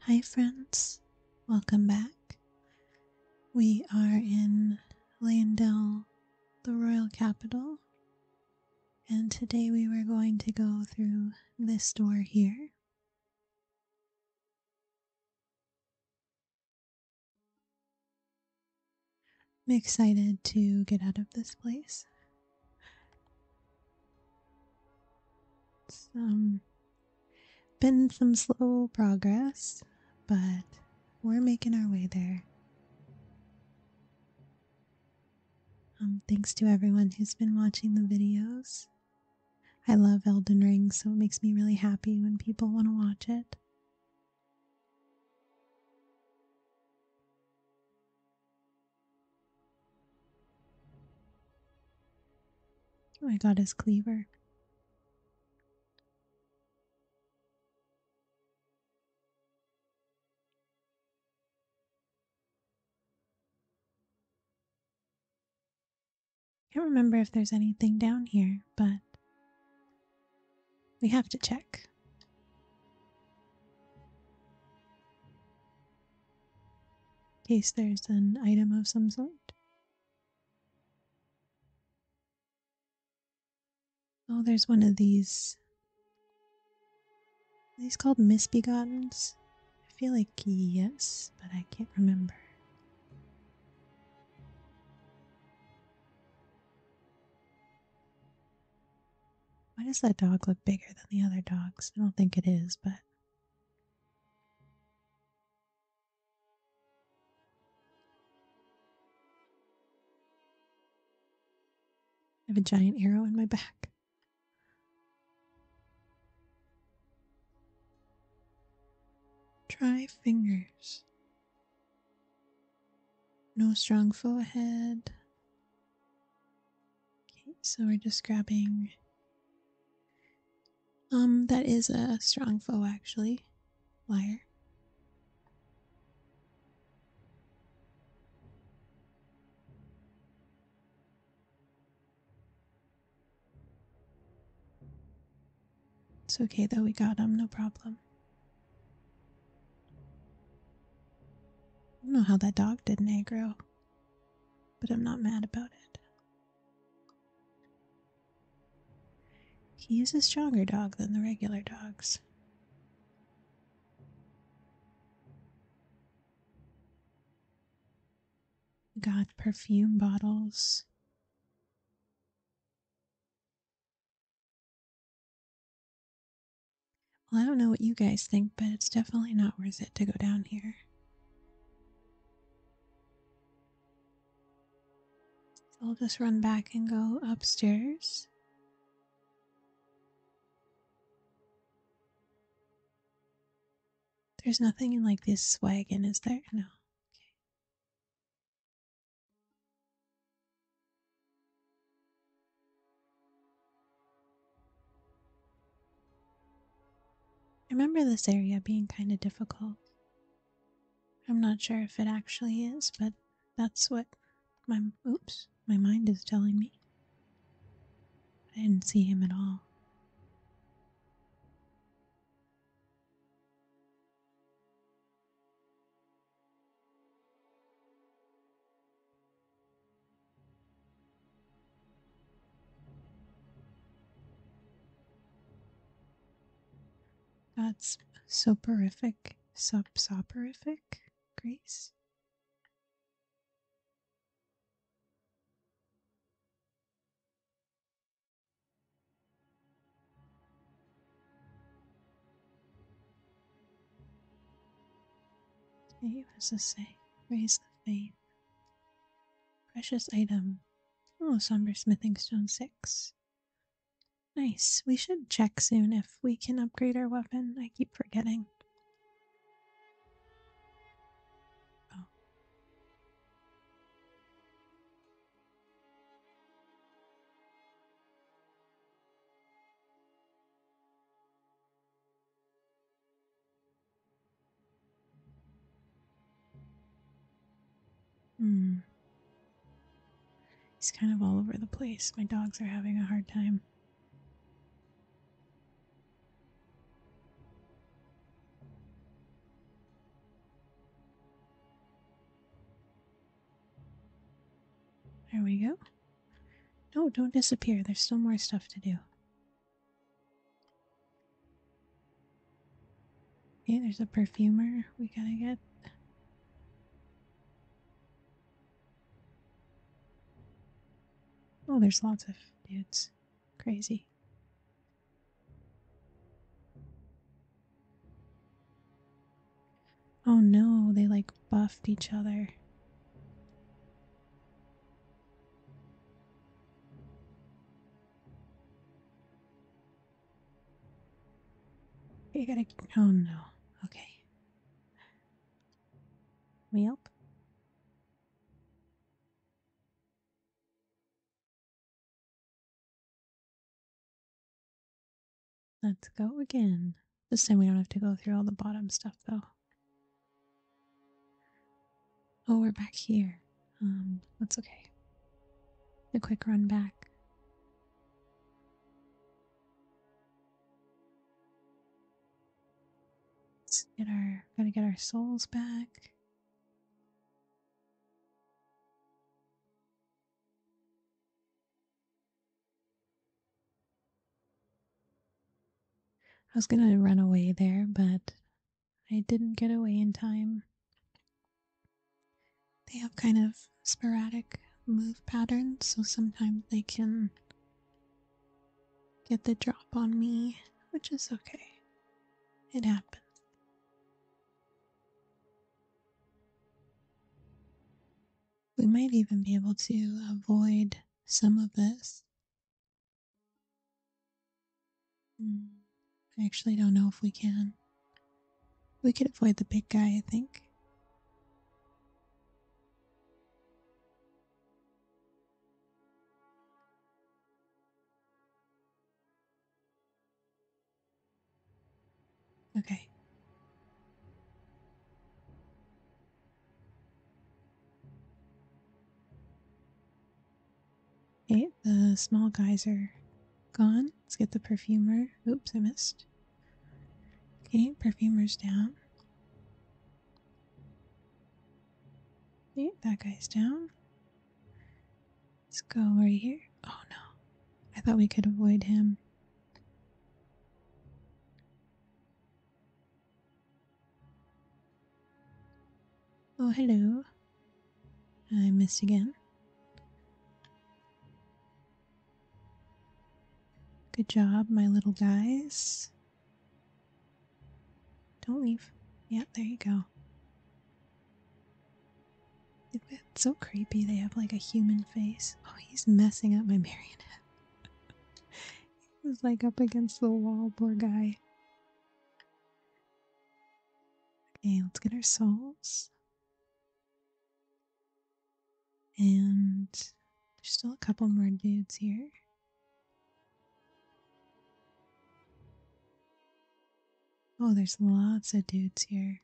Hi, friends. Welcome back. We are in Landell, the royal capital, and today we were going to go through this door here. I'm excited to get out of this place. It's um, been some slow progress, but we're making our way there. Um, thanks to everyone who's been watching the videos. I love Elden Ring, so it makes me really happy when people want to watch it. Oh, I got his cleaver. Can't remember if there's anything down here, but we have to check. In case there's an item of some sort. Oh, there's one of these. these called misbegotten. I feel like yes, but I can't remember. Why does that dog look bigger than the other dogs? I don't think it is, but. I have a giant arrow in my back. Try fingers. No strong forehead. Okay, so we're just grabbing. Um, that is a strong foe actually. Liar. It's okay though, we got him, no problem. I don't know how that dog did an aggro, but I'm not mad about it. He is a stronger dog than the regular dogs. Got perfume bottles. Well, I don't know what you guys think, but it's definitely not worth it to go down here. i will just run back and go upstairs. There's nothing in like this wagon, is there? No. Okay. I remember this area being kind of difficult. I'm not sure if it actually is, but that's what my oops, my mind is telling me. I didn't see him at all. That's soporific, sub soporific, Grace. Save has to say, raise the faith. Precious item. Oh, somber smithing stone six. Nice. We should check soon if we can upgrade our weapon. I keep forgetting. Hmm. He's kind of all over the place. My dogs are having a hard time. There we go. No, don't disappear. There's still more stuff to do. Okay, there's a perfumer we gotta get. Oh, there's lots of dudes. Crazy. Oh no, they like buffed each other. You gotta. Oh no. Okay. We up? Let's go again. This time we don't have to go through all the bottom stuff though. Oh, we're back here. Um, that's okay. A quick run back. Let's get our gotta get our souls back. I was gonna run away there, but I didn't get away in time. They have kind of sporadic move patterns, so sometimes they can get the drop on me, which is okay. It happens we might even be able to avoid some of this. Hmm, I actually don't know if we can. We could avoid the big guy, I think. Okay. Okay, the small guys are gone. Let's get the perfumer. Oops, I missed. Okay, perfumer's down. Okay, that guy's down. Let's go right here. Oh no. I thought we could avoid him. Oh, hello. I missed again. Good job, my little guys. Don't leave. Yeah, there you go. so creepy. They have like a human face. Oh, he's messing up my marionette he was like up against the wall, poor guy. Okay, let's get our souls. And there's still a couple more dudes here. Oh, there's lots of dudes here.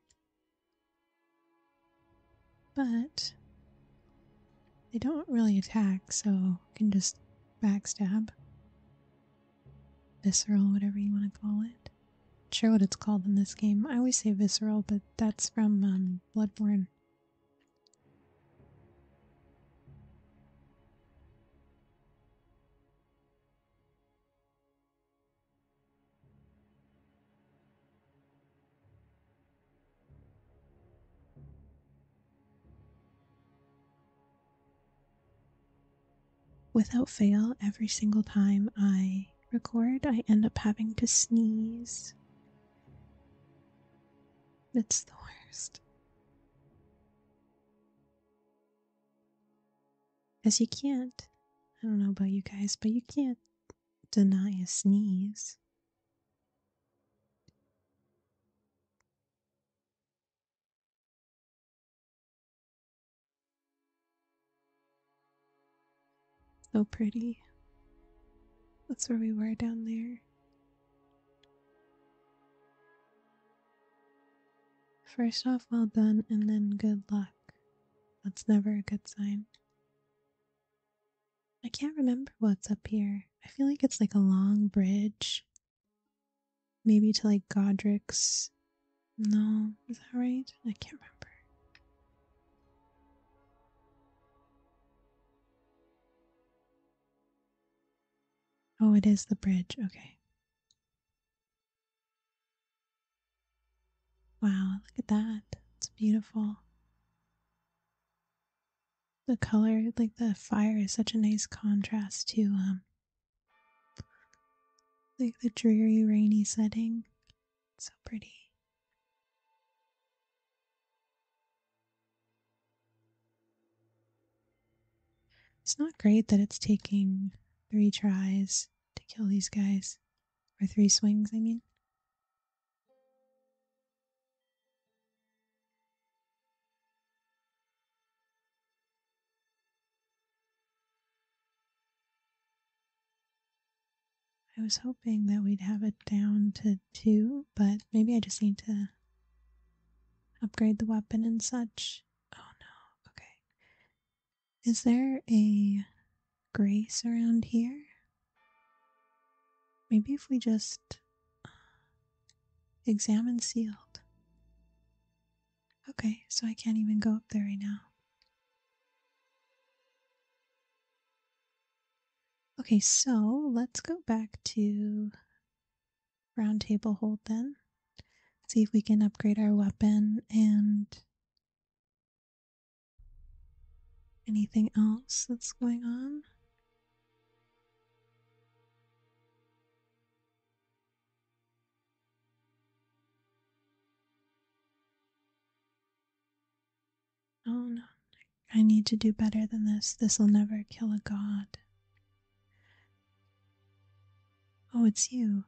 But they don't really attack, so you can just backstab. Visceral, whatever you want to call it. sure what it's called in this game. I always say visceral, but that's from um, Bloodborne. Without fail, every single time I record, I end up having to sneeze. It's the worst. As you can't, I don't know about you guys, but you can't deny a sneeze. So pretty. That's where we were down there. First off, well done, and then good luck. That's never a good sign. I can't remember what's up here. I feel like it's like a long bridge. Maybe to like Godric's. No, is that right? I can't remember. Oh, it is the bridge. Okay. Wow, look at that. It's beautiful the color like the fire is such a nice contrast to um, like the dreary rainy setting so pretty it's not great that it's taking three tries to kill these guys or three swings i mean I was hoping that we'd have it down to two, but maybe I just need to upgrade the weapon and such. Oh no, okay. Is there a grace around here. Maybe if we just uh, examine sealed. Okay, so I can't even go up there right now. Okay, so let's go back to roundtable hold then. See if we can upgrade our weapon and Anything else that's going on? Oh no, I need to do better than this. This will never kill a god. Oh, it's you.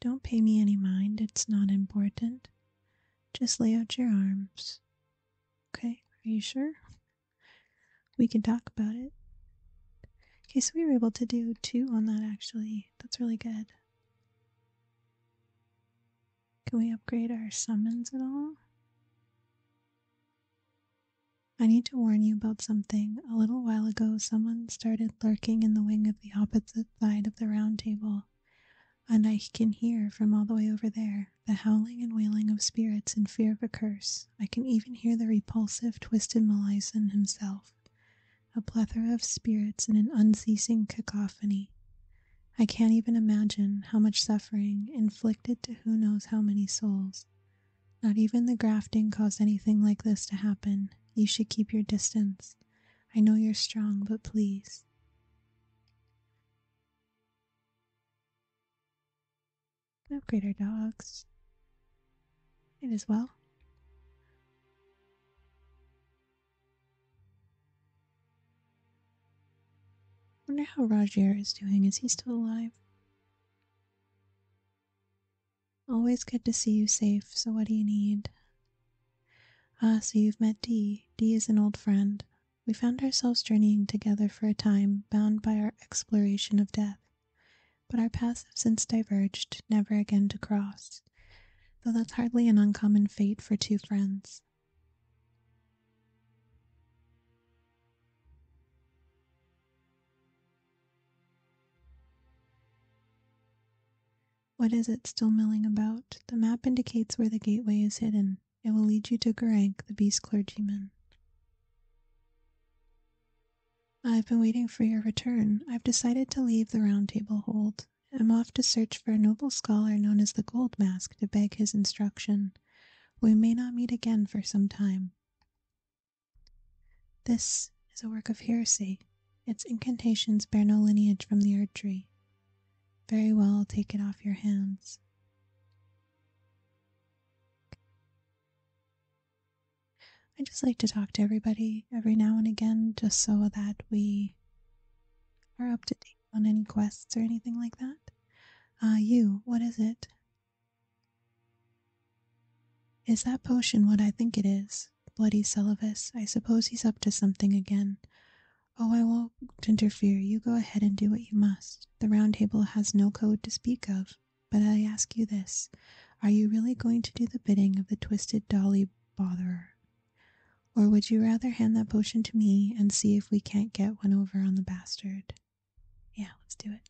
Don't pay me any mind, it's not important. Just lay out your arms Okay, are you sure? We can talk about it. Okay, so we were able to do two on that actually. That's really good. Can we upgrade our summons at all? I need to warn you about something. A little while ago, someone started lurking in the wing of the opposite side of the round table and I can hear from all the way over there the howling and wailing of spirits in fear of a curse. I can even hear the repulsive, twisted Melisande himself, a plethora of spirits in an unceasing cacophony. I can't even imagine how much suffering inflicted to who knows how many souls. Not even the grafting caused anything like this to happen. You should keep your distance. I know you're strong, but please. Upgrade our dogs. It is well. Wonder how Roger is doing. Is he still alive? Always good to see you safe. So what do you need? Ah, so you've met D. D is an old friend we found ourselves journeying together for a time bound by our exploration of death, but our paths have since diverged, never again to cross, though that's hardly an uncommon fate for two friends. What is it still milling about? The map indicates where the gateway is hidden. It will lead you to Garank, the beast clergyman. I've been waiting for your return. I've decided to leave the Round Table Hold. I'm off to search for a noble scholar known as the Gold Mask to beg his instruction. We may not meet again for some time. This is a work of heresy. Its incantations bear no lineage from the Erdtree, very well, take it off your hands. I just like to talk to everybody every now and again just so that we are up to date on any quests or anything like that. Ah, you, what is it? Is that potion what I think it is? Bloody Celibus. I suppose he's up to something again. "Oh, I won't interfere; you go ahead and do what you must. The Round Table has no code to speak of. But I ask you this: Are you really going to do the bidding of the twisted dolly botherer, or would you rather hand that potion to me and see if we can't get one over on the bastard? Yeah, let's do it.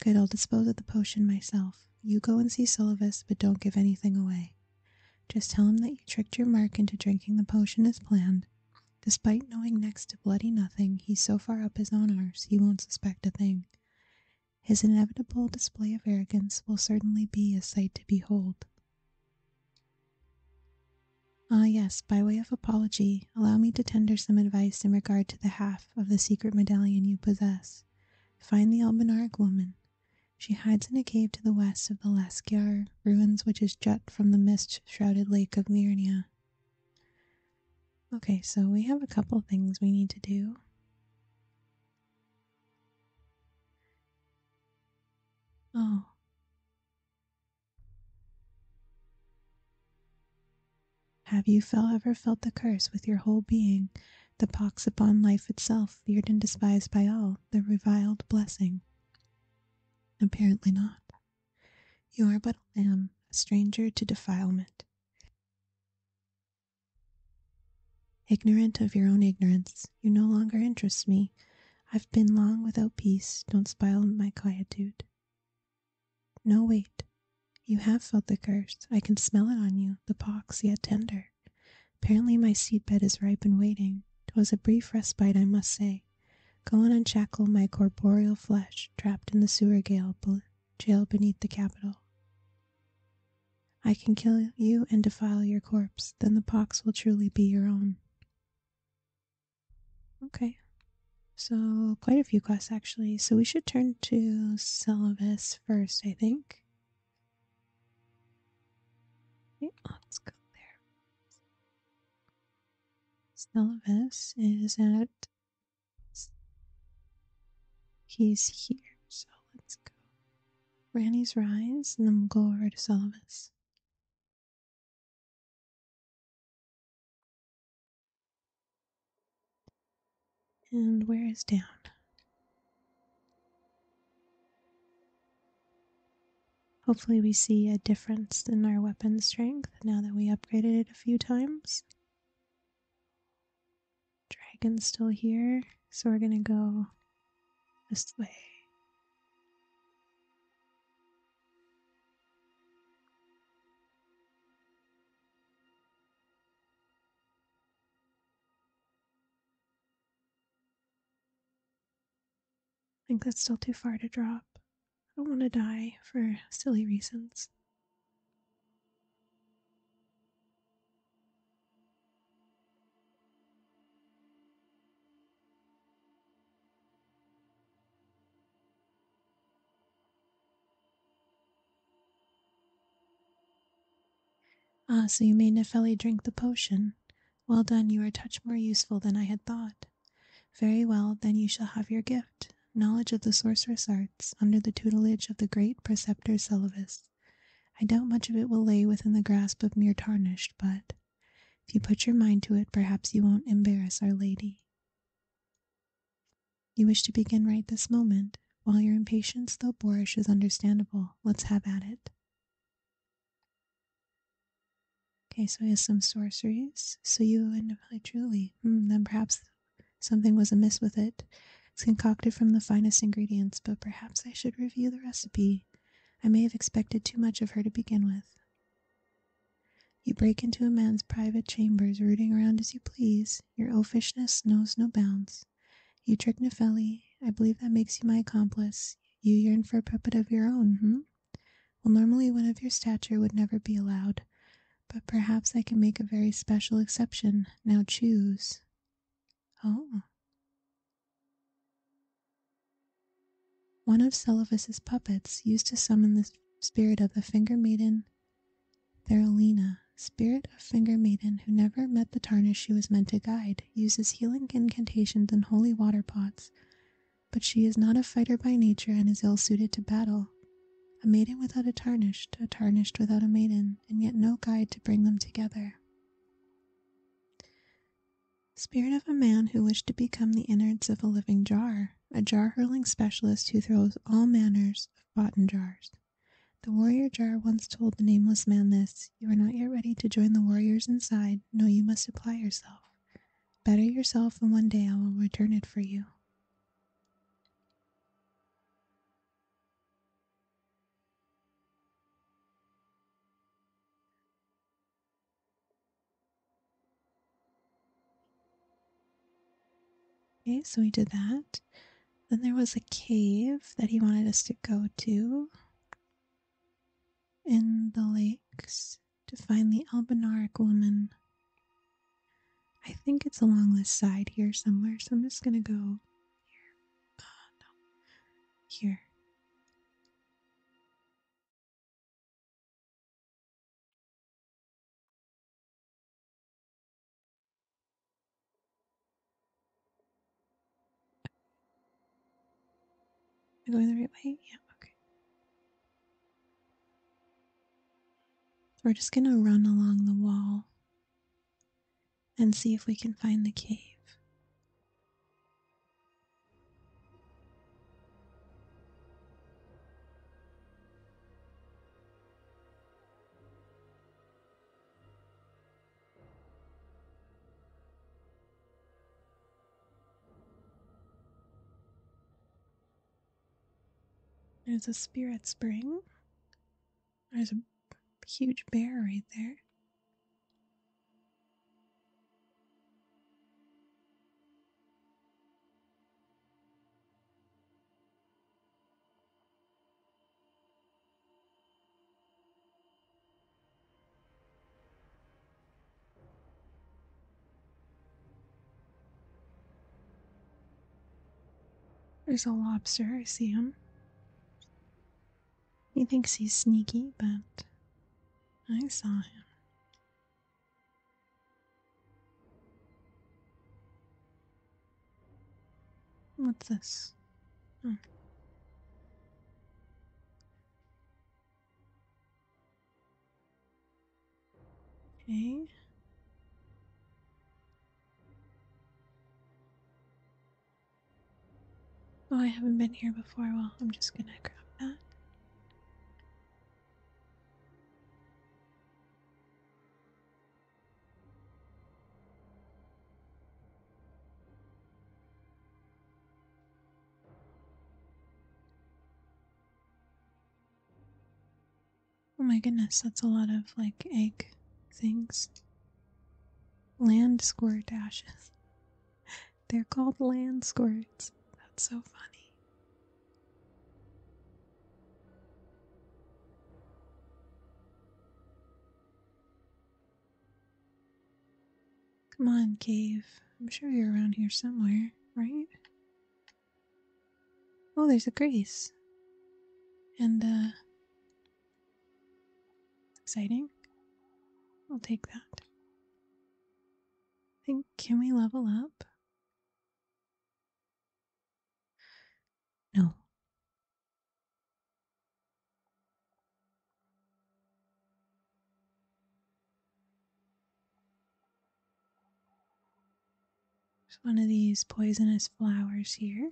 Good, I'll dispose of the potion myself. You go and see Syllabus, but don't give anything away. Just tell him that you tricked your Mark into drinking the potion as planned Despite knowing next to bloody nothing, he's so far up his own arse he won't suspect a thing. His inevitable display of arrogance will certainly be a sight to behold. Ah, yes, by way of apology, allow me to tender some advice in regard to the half of the secret medallion you possess. Find the Almanaric woman. She hides in a cave to the west of the Lascar ruins which is jet from the mist shrouded lake of Myrna. Okay, so we have a couple things we need to do. Oh. Have you felt, ever felt the curse with your whole being, the pox upon life itself, feared and despised by all, the reviled blessing? Apparently not. You are but a lamb, a stranger to defilement, ignorant of your own ignorance. You no longer interest me. I've been long without peace. Don't spoil my quietude. No, wait. You have felt the curse. I can smell it on you, the pox yet tender. Apparently my seed bed is ripe and waiting. 'Twas a brief respite, I must say. Go and unshackle my corporeal flesh trapped in the sewer gale jail beneath the Capitol. I can kill you and defile your corpse, then the pox will truly be your own. Okay, so quite a few quests actually. So we should turn to Celibus first, I think. let's go there. Solovus is at he's here, so let's go. Granny's Rise, and then we'll go over to Solovus. And where is down? Hopefully we see a difference in our weapon strength now that we upgraded it a few times. Dragon's still here, so we're gonna go this way. I think that's still too far to drop. I don't want to die for silly reasons. Ah, so you made Nefeli drink the potion. Well done, you are a more useful than I had thought. Very well, then you shall have your gift, knowledge of the sorceress arts, under the tutelage of the great preceptor Syllabus. I doubt much of it will lay within the grasp of mere tarnished, but if you put your mind to it, perhaps you won't embarrass Our Lady. You wish to begin right this moment. While your impatience, though boorish, is understandable, let's have at it. Okay, so he has some sorceries. So you and I truly. Hmm, then perhaps something was amiss with it. It's concocted from the finest ingredients, but perhaps I should review the recipe. I may have expected too much of her to begin with. You break into a man's private chambers, rooting around as you please. Your elfishness knows no bounds. You trick Nefeli. I believe that makes you my accomplice. You yearn for a puppet of your own, hmm? Well, normally one of your stature would never be allowed, but perhaps I can make a very special exception. Now choose. Oh. One of Celephus's puppets used to summon the spirit of the finger maiden Theralina, spirit of finger maiden who never met the tarnish she was meant to guide, uses healing incantations and holy water pots but she is not a fighter by nature and is ill suited to battle. A maiden without a tarnished, a tarnished without a maiden, and yet no guide to bring them together. Spirit of a man who wished to become the innards of a living jar, a jar hurling specialist who throws all manners of rotten jars. The warrior jar once told the nameless man this You are not yet ready to join the warriors inside, no, you must apply yourself. Better yourself, and one day I will return it for you. Okay, so we did that. Then there was a cave that he wanted us to go to in the lakes to find the Albinaric woman. I think it's along this side here somewhere, so I'm just gonna go here. Uh, no. Here. Am I going the right way? Yeah, okay. We're just going to run along the wall and see if we can find the cave. There's a spirit spring. There's a huge bear right there. There's a lobster, I see him. He thinks he's sneaky, but I saw him. What's this? Oh. Okay. Oh, I haven't been here before. Well, I'm just gonna grab that. Oh my goodness, that's a lot of like egg things. Land squirt dashes. They're called land squirts. That's so funny. Come on, cave. I'm sure you're around here somewhere, right? Oh, there's a grace. And, uh, exciting. I'll take that. think, can we level up? No. There's one of these poisonous flowers here.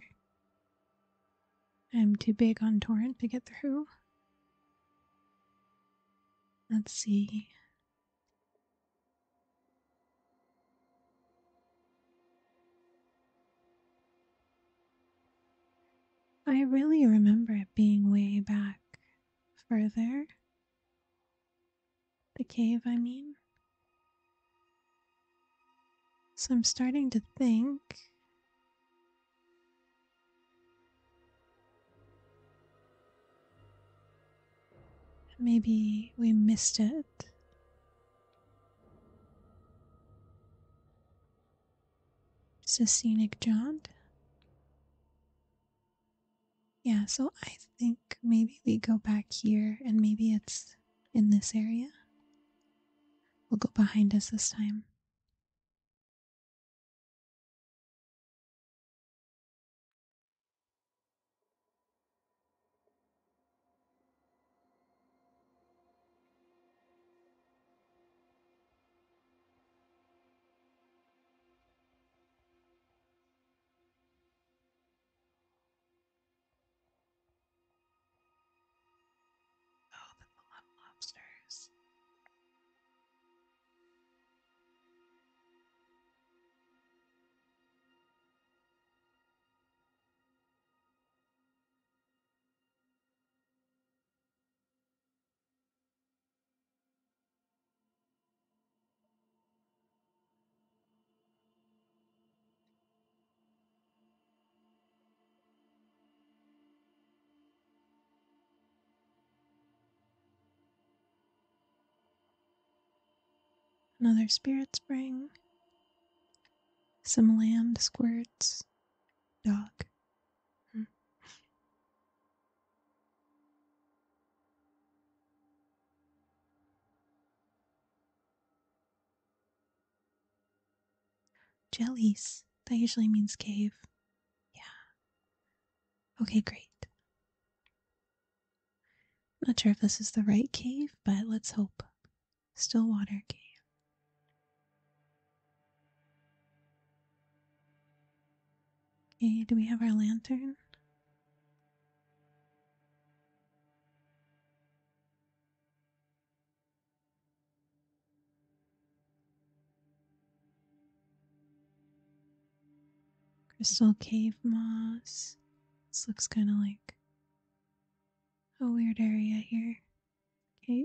I'm too big on Torrent to get through. Let's see. I really remember it being way back further the cave, I mean. So I'm starting to think. Maybe we missed it. It's a scenic jaunt. Yeah, so I think maybe we go back here and maybe it's in this area. We'll go behind us this time. Oh, the love lobsters another spirit spring, some land squirts, dog. Hmm. Jellies. That usually means cave. Yeah. Okay, great. Not sure if this is the right cave, but let's hope. Still water Cave. Okay, eh, do we have our lantern? Crystal cave moss. This looks kind of like a weird area here. Okay.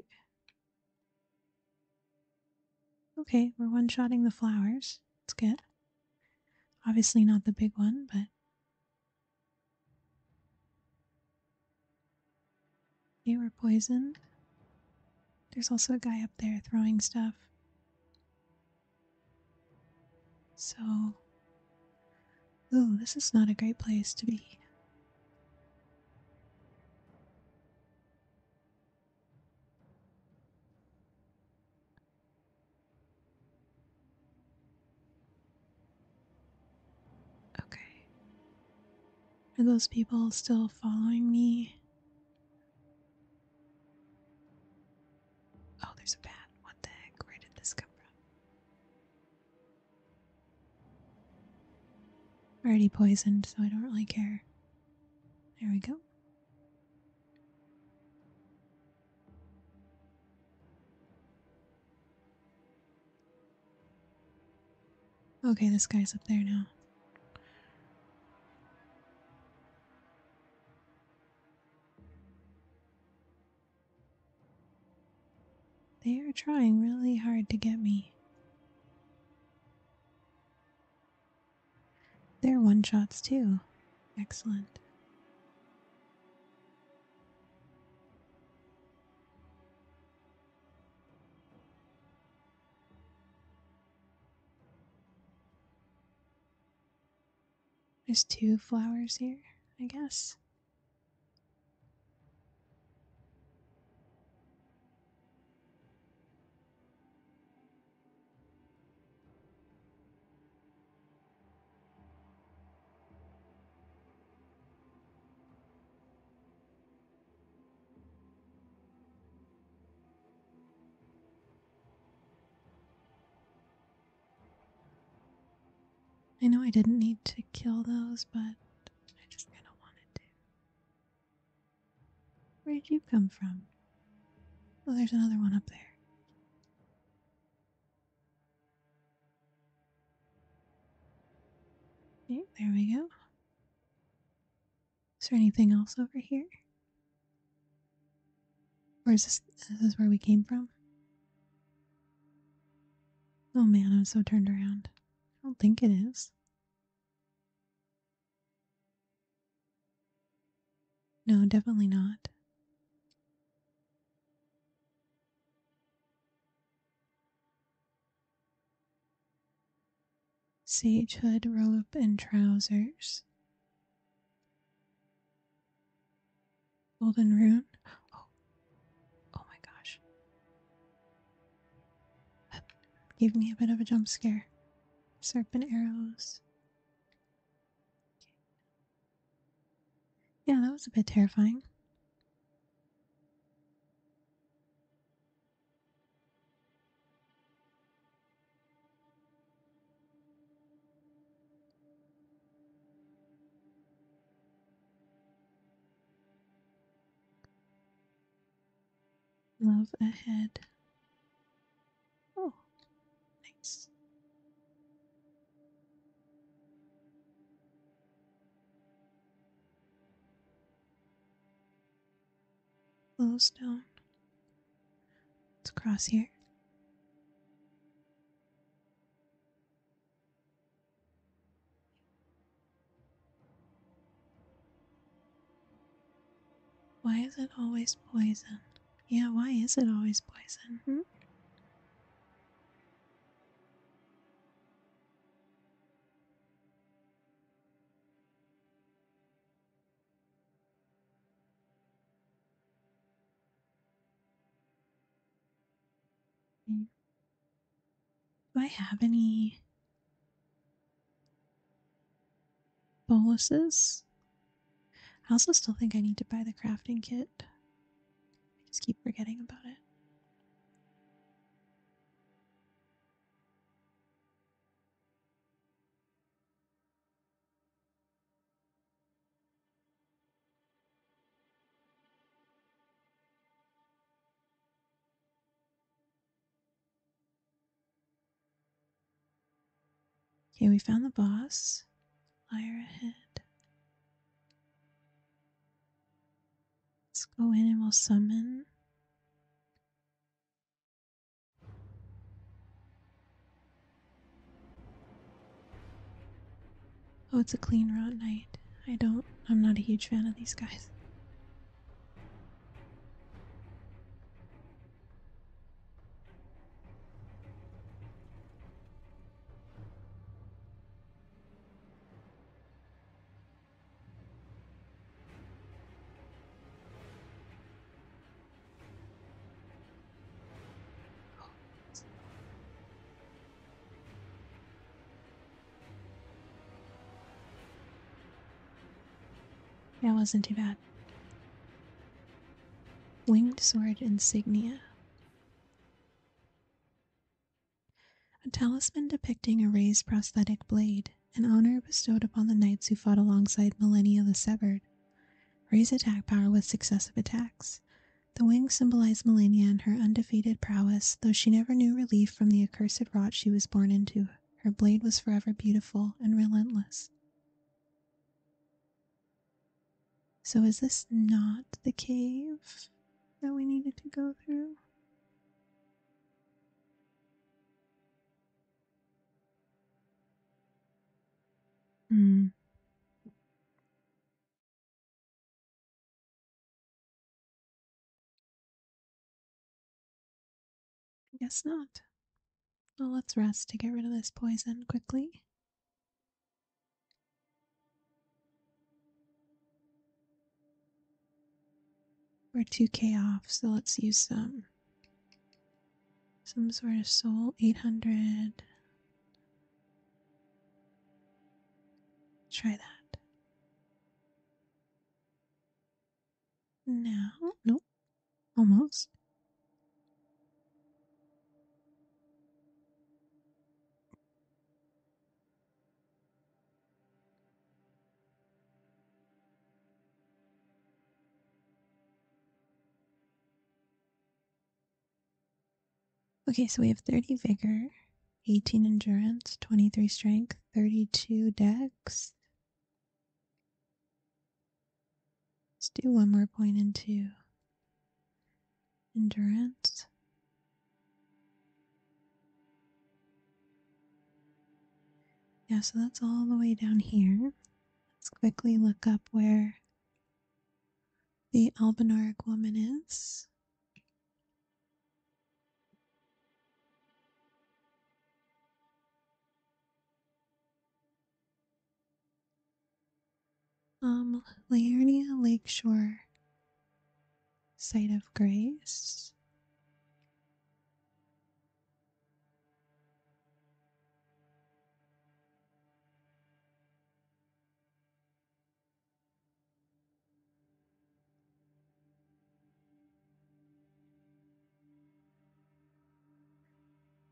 Okay, we're one shotting the flowers. It's good. Obviously, not the big one, but. Okay, we're poisoned. There's also a guy up there throwing stuff. So. Ooh, this is not a great place to be. Okay. Are those people still following me? Oh, there's a bat. What the heck? Where did this come from? already poisoned, so I don't really care. There we go. Okay, this guy's up there now. They are trying really hard to get me. They're one shots too. Excellent. There's two flowers here, I guess. I know I didn't need to kill those, but I just kind of wanted to. Where did you come from? Oh, there's another one up there. there we go. Is there anything else over here? Or is this, is this where we came from? Oh man, I'm so turned around. I don't think it is. No, definitely not. Sage hood, robe, and trousers. Golden rune. Oh, oh my gosh. That me a bit of a jump scare. Serpent arrows. Yeah, that was a bit terrifying. Love ahead. Oh, nice. Glowstone. Let's cross here. Why is it always poison? Yeah, why is it always poison? Hmm? Hmm. Do I have any boluses. I also still think I need to buy the crafting kit. I just keep forgetting about it. Okay, we found the boss. Fire ahead. Let's go in and we'll summon. Oh, it's a clean route night. I don't, I'm not a huge fan of these guys. That wasn't too bad. Winged Sword Insignia. A talisman depicting a raised prosthetic blade, an honor bestowed upon the knights who fought alongside Millennia the Severed. Raise attack power with successive attacks. The wings symbolize Millennia and her undefeated prowess, though she never knew relief from the accursed rot she was born into. Her blade was forever beautiful and relentless. So, is this not the cave that we needed to go through? Hmm. I guess not. Well, let's rest to get rid of this poison quickly. We're 2k off, so let's use some some sort of soul 800. Try that. Now, nope. Almost. Okay, so we have 30 vigor, 18 endurance, 23 strength, 32 dex, Let's do one more point into endurance. Yeah, so that's all the way down here. Let's quickly look up where the Albanoric woman is. Um, Lakeshore, Site of Grace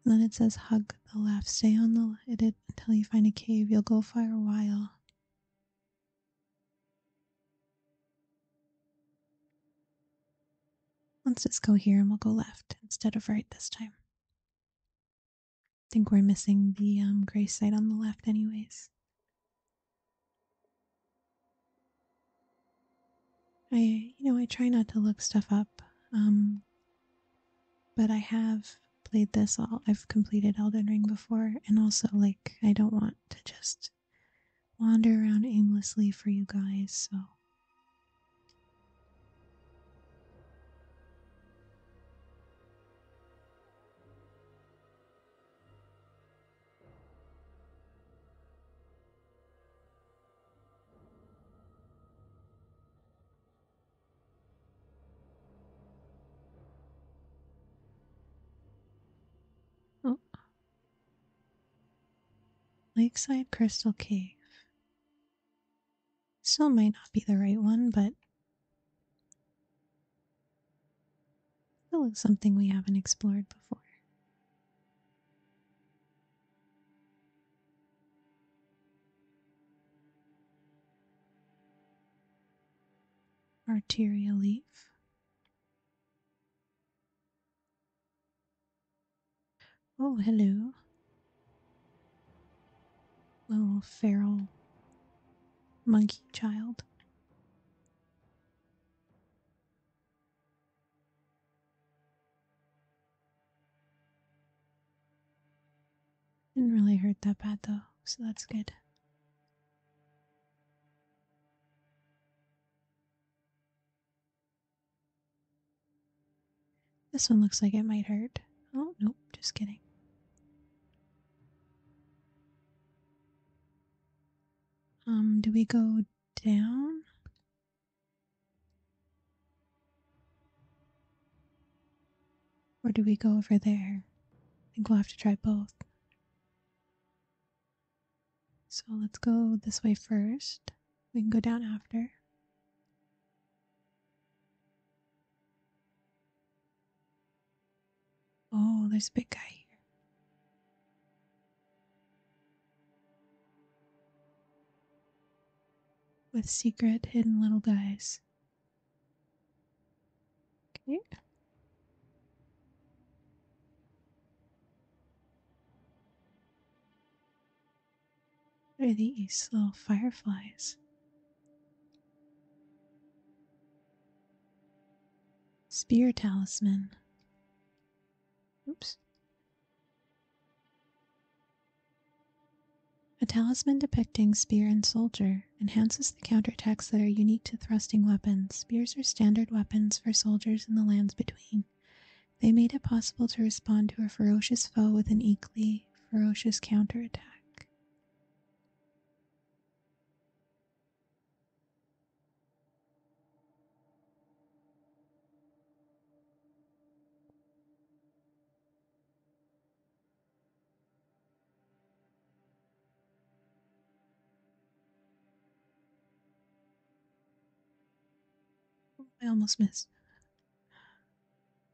then it says hug the left. Stay on the it until you find a cave. You'll go for a while. Let's just go here and we'll go left instead of right this time. I think we're missing the um, gray site on the left, anyways. I, you know, I try not to look stuff up. Um, but I have played this all. I've completed Elden Ring before, and also, like, I don't want to just wander around aimlessly for you guys, so. Oh. Lakeside Crystal Cave. Still might not be the right one, but still looks something we haven't explored before arterial leaf. Oh, hello. Little feral monkey child. Didn't really hurt that bad though, so that's good. This one looks like it might hurt. Oh, nope, just kidding. Um, do we go down? Or do we go over there? I think we'll have to try both. So let's go this way first. We can go down after. Oh, there's a big guy here with secret hidden little guys. Okay. They're these little fireflies. Spear talisman. Oops. A talisman depicting spear and soldier enhances the counterattacks that are unique to thrusting weapons. Spears were standard weapons for soldiers in the lands between. They made it possible to respond to a ferocious foe with an equally ferocious counterattack. I almost missed.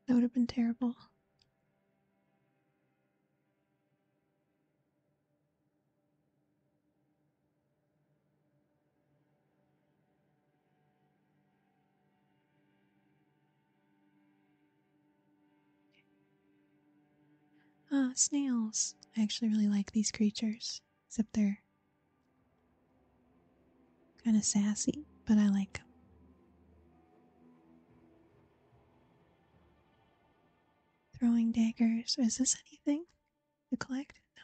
That would have been terrible. Ah, snails. I actually really like these creatures, except they're kind of sassy, but I like Throwing daggers. Is this anything to collect? No.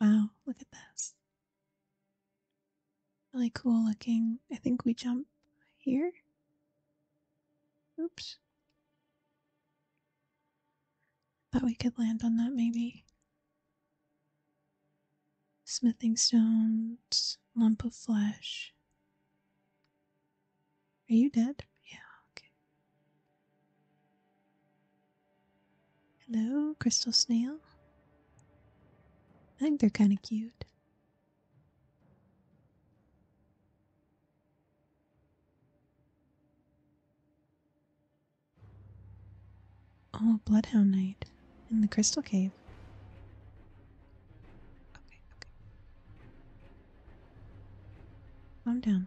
Wow, look at this. Really cool looking. I think we jump here. Oops. Thought we could land on that maybe. Smithing stones, lump of flesh. Are you dead? Yeah, okay. Hello, crystal snail. I think they're kind of cute. Oh, Bloodhound Night in the Crystal Cave. Okay, okay. Calm down.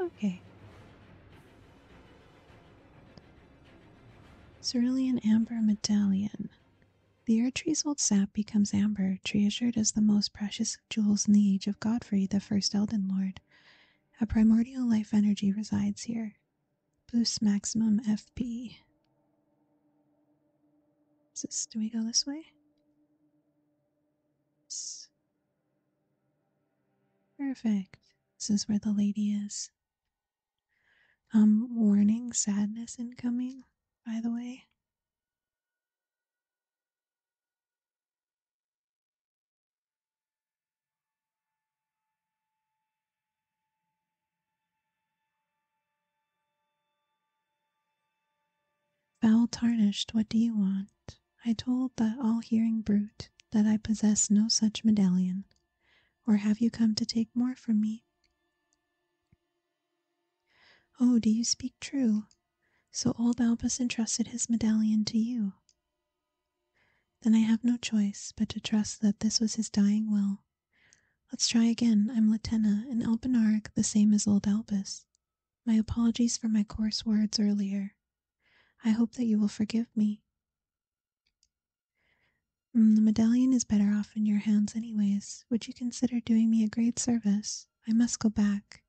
Okay. Cerulean Amber Medallion. The Air Tree's old sap becomes amber, treasured as the most precious of jewels in the age of Godfrey, the first Elden Lord. A primordial life energy resides here. Boosts maximum FP. Is this, do we go this way? Perfect. This is where the lady is. Um, warning sadness incoming, by the way. Foul tarnished, what do you want? I told that all hearing brute that I possess no such medallion. Or have you come to take more from me? Oh, do you speak true? So old Albus entrusted his medallion to you. Then I have no choice but to trust that this was his dying will. Let's try again. I'm Latena, and Alpinaric the same as old Albus. My apologies for my coarse words earlier. I hope that you will forgive me. Mm, the medallion is better off in your hands, anyways. Would you consider doing me a great service? I must go back.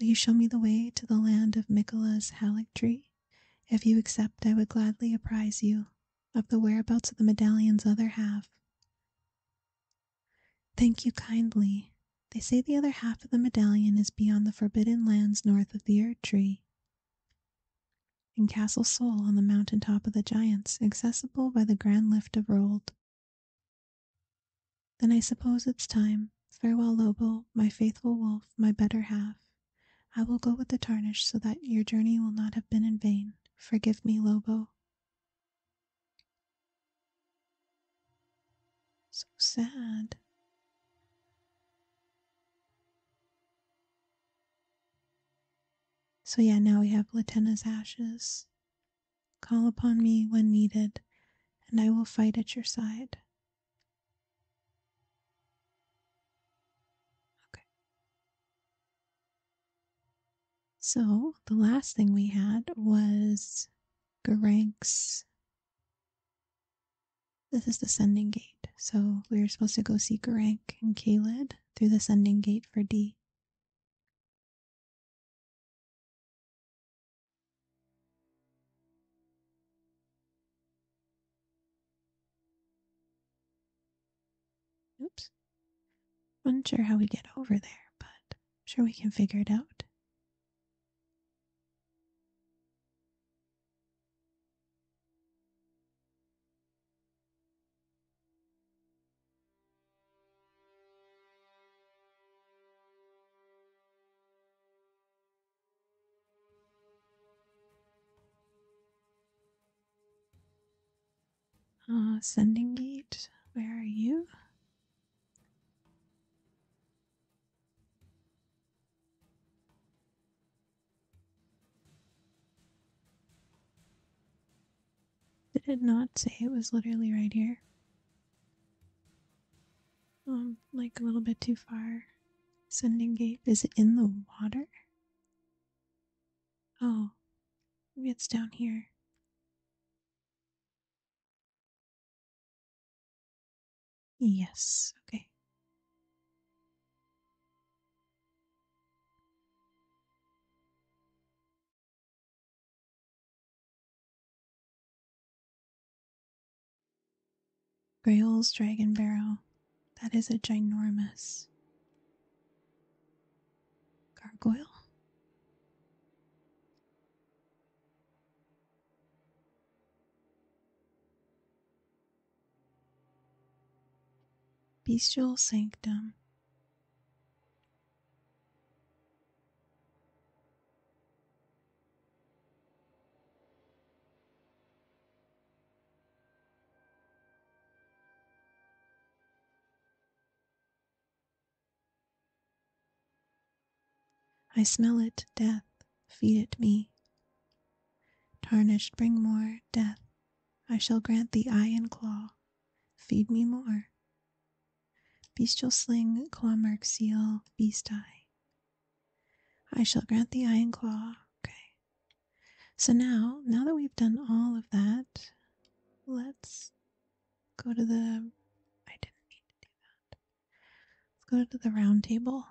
Will you show me the way to the land of Mikola's Halleck tree? If you accept, I would gladly apprise you of the whereabouts of the medallion's other half. Thank you kindly. They say the other half of the medallion is beyond the forbidden lands north of the Ear Tree, in Castle Sol on the mountain top of the Giants, accessible by the grand lift of Rold. Then I suppose it's time. Farewell, Lobo, my faithful wolf, my better half. I will go with the tarnish so that your journey will not have been in vain. Forgive me, Lobo. So sad. So, yeah, now we have Latena's ashes. Call upon me when needed, and I will fight at your side. Okay. So, the last thing we had was Garanks. This is the sending gate, so we are supposed to go see Garank and Kaled through the sending gate for D. Oops. not sure how we get over there, but sure we can figure it out. Uh, sending gate, where are you? Did it not say it was literally right here? Um, like a little bit too far. Sending gate is it in the water? Oh, maybe it's down here. Yes, okay. Grail's dragon barrel. That is a ginormous gargoyle. Bestial Sanctum. I smell it, death, feed it me. Tarnished, bring more, death. I shall grant thee eye and claw, feed me more. Bestial sling, claw mark, seal, beast eye. I shall grant thee eye and claw. Okay. So now, now that we've done all of that, let's go to the. I didn't mean to do that. Let's go to the round table.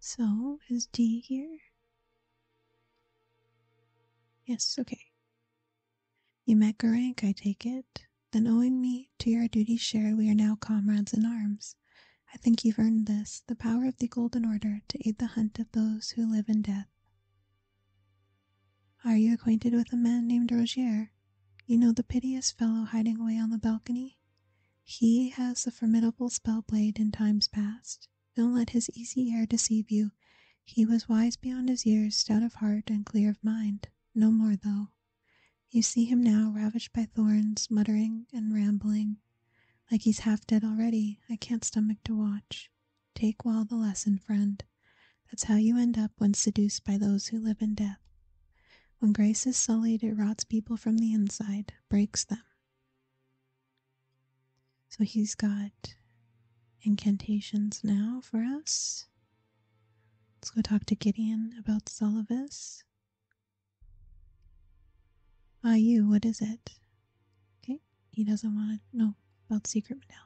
So, is D here? Yes, okay. You met Garank, I take it. Then owing me to your duty shared, we are now comrades in arms. I think you've earned this, the power of the Golden Order to aid the hunt of those who live in death. Are you acquainted with a man named Rogier? You know the piteous fellow hiding away on the balcony? He has the formidable spell blade in times past. Don't let his easy air deceive you. He was wise beyond his years, stout of heart, and clear of mind. No more, though. You see him now, ravished by thorns, muttering and rambling. Like he's half dead already. I can't stomach to watch. Take well the lesson, friend. That's how you end up when seduced by those who live in death. When grace is sullied, it rots people from the inside, breaks them. So he's got incantations now for us. Let's go talk to Gideon about Sullivis. Ah, you, what is it? Okay, he doesn't want to know about secret medallions.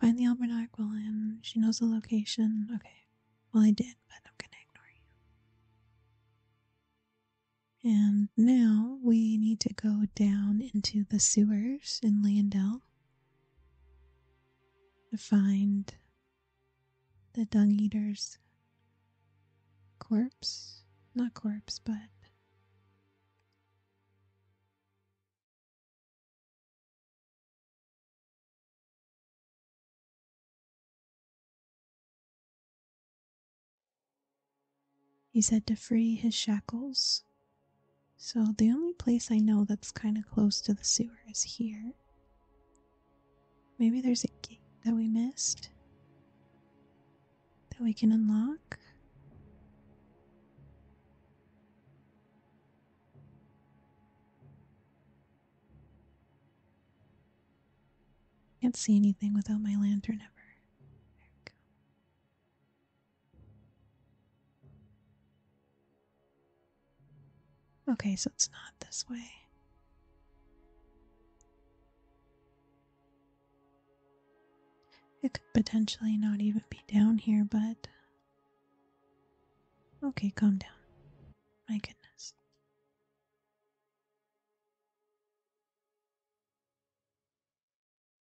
Find the almanac, well, and she knows the location. Okay, well, I did, but I'm gonna ignore you. And now we need to go down into the sewers in Leandell to find the dung eater's corpse. Not corpse, but he said to free his shackles. So the only place I know that's kind of close to the sewer is here. Maybe there's a gate that we missed that we can unlock. Can't see anything without my lantern ever. There we go. Okay, so it's not this way. It could potentially not even be down here, but. Okay, calm down. My goodness.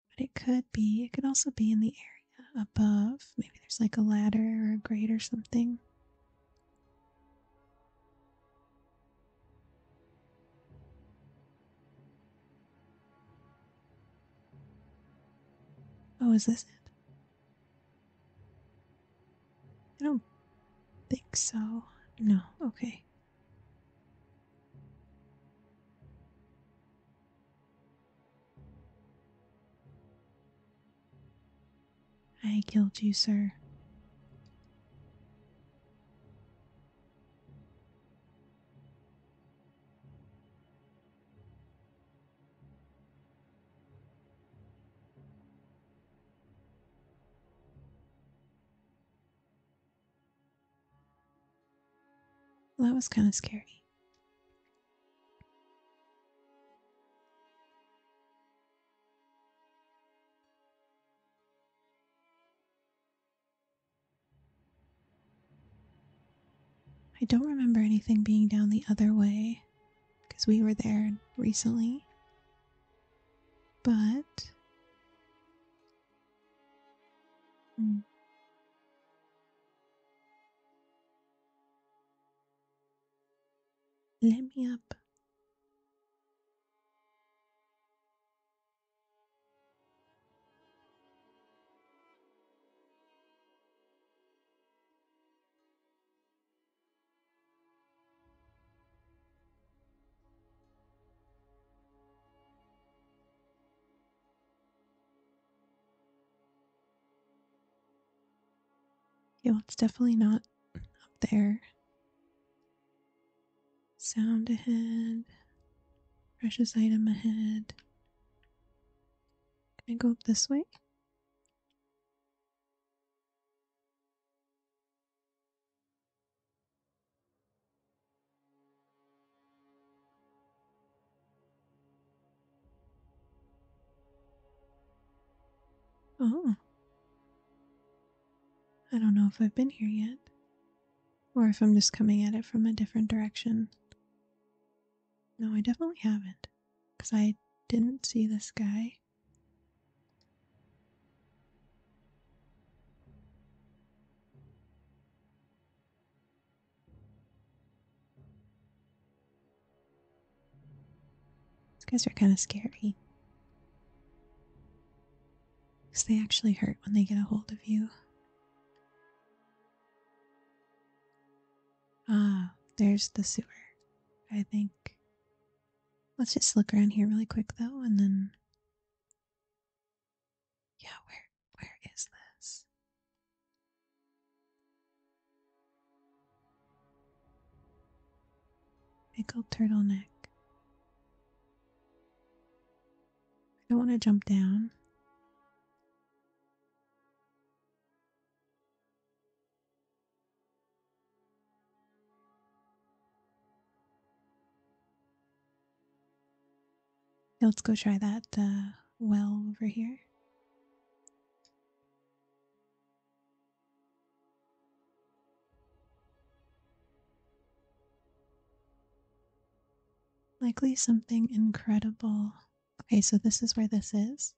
But it could be, it could also be in the area above. Maybe there's like a ladder or a grate or something. Oh, is this it? I don't think so. No, okay. I killed you, sir that was kind of scary. I don't remember anything being down the other way because we were there recently. But hmm. let me up. Yeah, it's definitely not up there sound ahead, precious item ahead. Can I go up this way? Oh. I don't know if I've been here yet or if I'm just coming at it from a different direction. No, I definitely haven't because I didn't see this guy. These guys are kind of scary. Because they actually hurt when they get a hold of you. Ah, there's the sewer, I think. Let's just look around here really quick though, and then. Yeah, where where is this? Pickled turtleneck. I don't want to jump down. let's go try that uh, well over here. Likely something incredible. Okay, so this is where this is.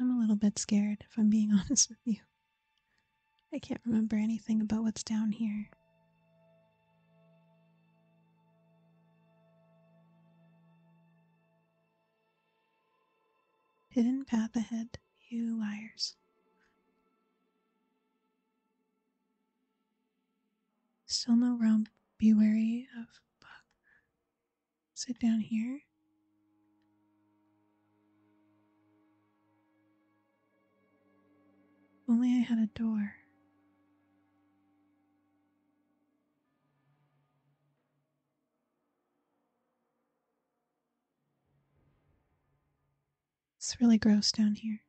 I'm a little bit scared, if I'm being honest with you. I can't remember anything about what's down here. Hidden path ahead, you liars. Still no rump. Be wary of. Fuck sit down here. only I had a door. It's really gross down here.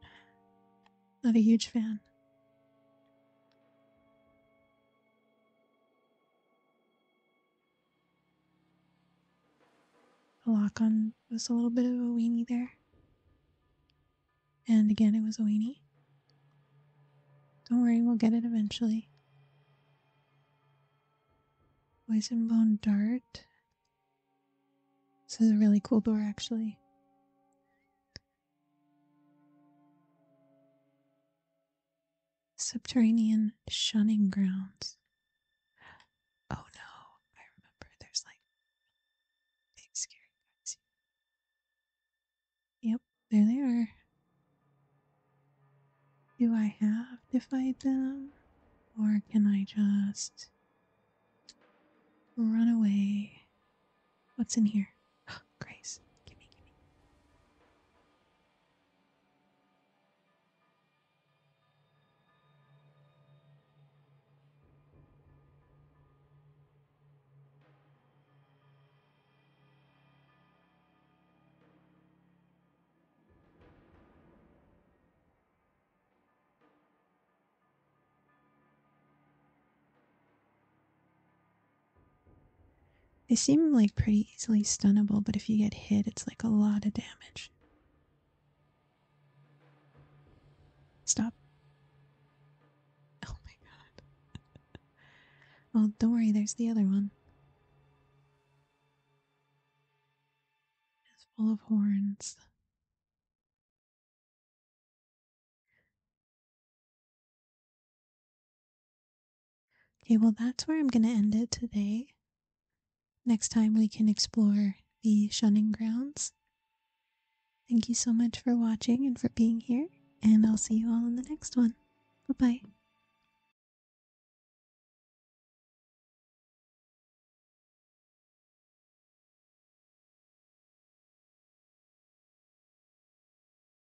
Not a huge fan. A lock on was a little bit of a weenie there. And again, it was a weenie. Don't worry, we'll get it eventually. Poison bone dart. This is a really cool door, actually. Subterranean shunning grounds. Oh no, I remember there's like big scary guys. Yep, there they are. Do I have to fight them? Or can I just run away? What's in here? Grace, gimme, gimme. They seem like pretty easily stunnable, but if you get hit, it's like a lot of damage. Stop. Oh my god. oh, don't worry, there's the other one. It's full of horns. Okay, well, that's where I'm going to end it today. Next time we can explore the shunning grounds. Thank you so much for watching and for being here, and I'll see you all in the next one. Bye bye.